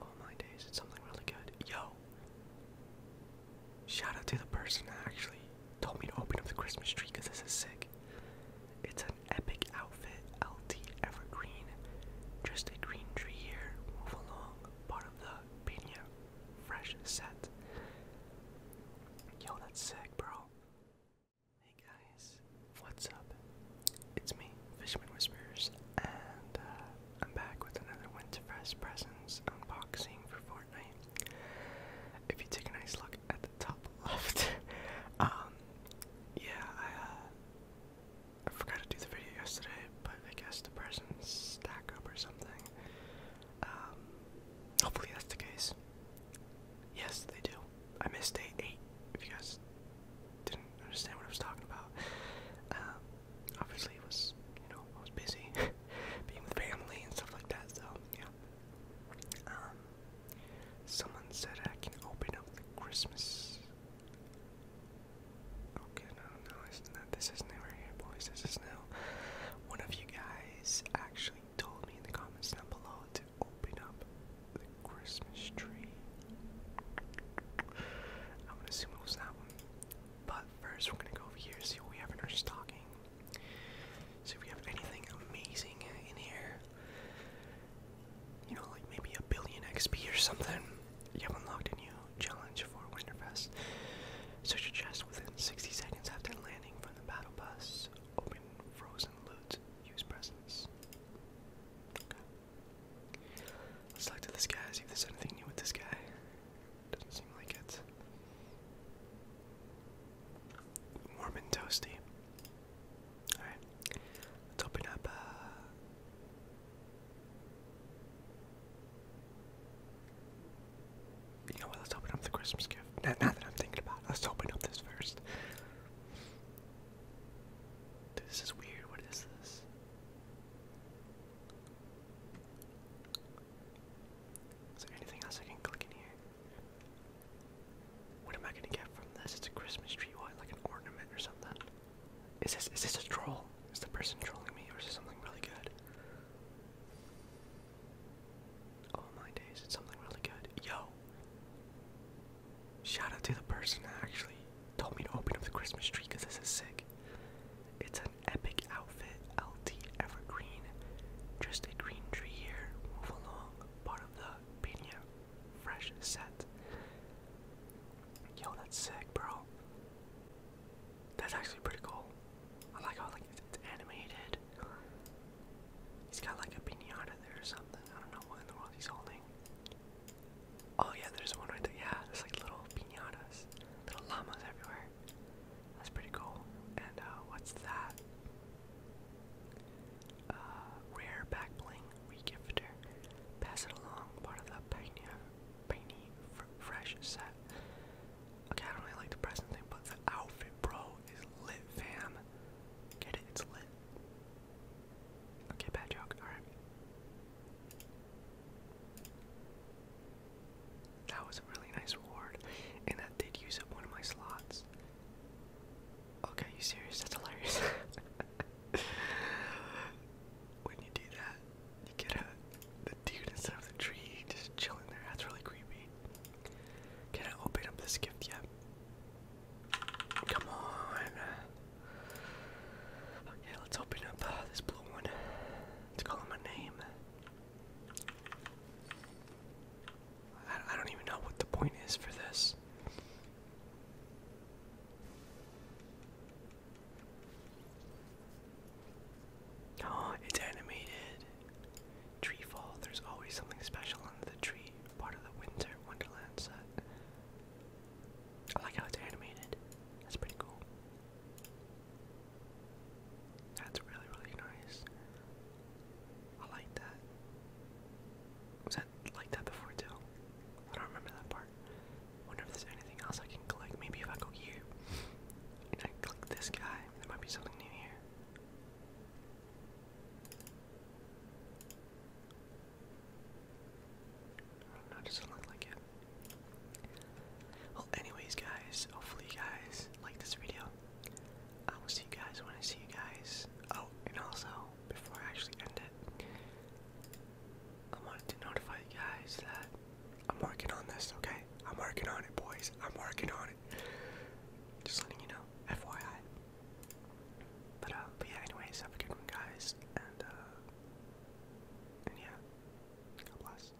Oh my days, it's something really good. Yo! Shout out to the person that actually told me to open up the Christmas tree because this is sick. It's an epic outfit, LT Evergreen. Just a green tree here, move along, part of the Pina Fresh set. Yo, that's sick, bro. Hey guys, what's up? It's me, Fishman Whispers, and uh, I'm back with another Winterfest Presents unboxing for Fortnite. If you take a nice look at the top left, um, yeah, I, uh, I forgot to do the video yesterday, but I guess the presents stack up or something. Um, hopefully that's the case. Yes, they do. I missed day eight. If you guys didn't understand what I was talking about, um, obviously it was you know I was busy being with family and stuff like that. So yeah. Um, someone said I can open up the Christmas. Okay, no, no, it's not. This is new here, boys. This is new. One of you guys actually told me in the comments down below to open up the Christmas tree. I'm gonna assume it was that one. But first, we're gonna go over here, see what we have in our stocking. See if we have anything amazing in here. You know, like maybe a billion XP or something. You unlocked a new challenge for Winterfest. Search a chest within 60 seconds after landing from the battle bus. Open frozen loot. Use presents. Okay. let this guy, see if anything new with this guy. Doesn't seem like it. Warm and toasty. Alright. Let's open up uh, you know what? Let's open up the Christmas gift. Now, that I'm thinking about it, let's open up this first. this is weird. What is this? Is there anything else I can click in here? What am I gonna get from this? It's a Christmas tree, what? Like an ornament or something? Is this is this a troll? Is the person trolling me, or is it something really good? Oh my days, it's something really good. Yo. Shout out to the person that actually told me to open up the Christmas tree because this is sick. It's an epic outfit, LT Evergreen. Just a green tree here, move along, part of the Pina Fresh set. Yo, that's sick, bro. That's actually pretty cool. I like how like it's animated. He's got like a pinata there or something. I don't know what in the world he's holding. Oh yeah, there's one right there. Yeah, there's like little pinatas, little llamas everywhere. That's pretty cool. And uh, what's that? Uh, rare back bling regifter. Pass it along, part of the Pioneer, Pioneer Fresh set. Okay, I don't really like the present thing, but the outfit, bro, is lit, fam. Get it? It's lit. Okay, bad joke. Alright. That was a really nice reward, and that did use up one of my slots. Okay, you serious? That's hilarious. when you do that, you get the dude instead of the tree just chilling there. That's really creepy. Can I open up this gift yet? Come on. Okay, let's open up uh, this blue one. Let's call name. I, don't even know what the point is for this. Oh, it's animated. Tree fall. There's always something special under the tree. Part of the winter wonderland set. I like how it's animated. That's pretty cool. That's really, really nice. I like that. Was that like that before too? I don't remember that part. Wonder if there's anything else I can collect. Maybe if I go here and I click this guy, there might be something new here. No, it doesn't look like it. Well, anyways, guys, hopefully guys like this video. I will see you guys when I see you guys. Oh, and also, before I actually end it, I wanted to notify you guys that I'm working on this, okay? I'm working on it, boys. I'm working on it. Just letting you know, FYI. Uh, but, yeah, anyways, have a good one, guys. And, uh, and yeah, God bless.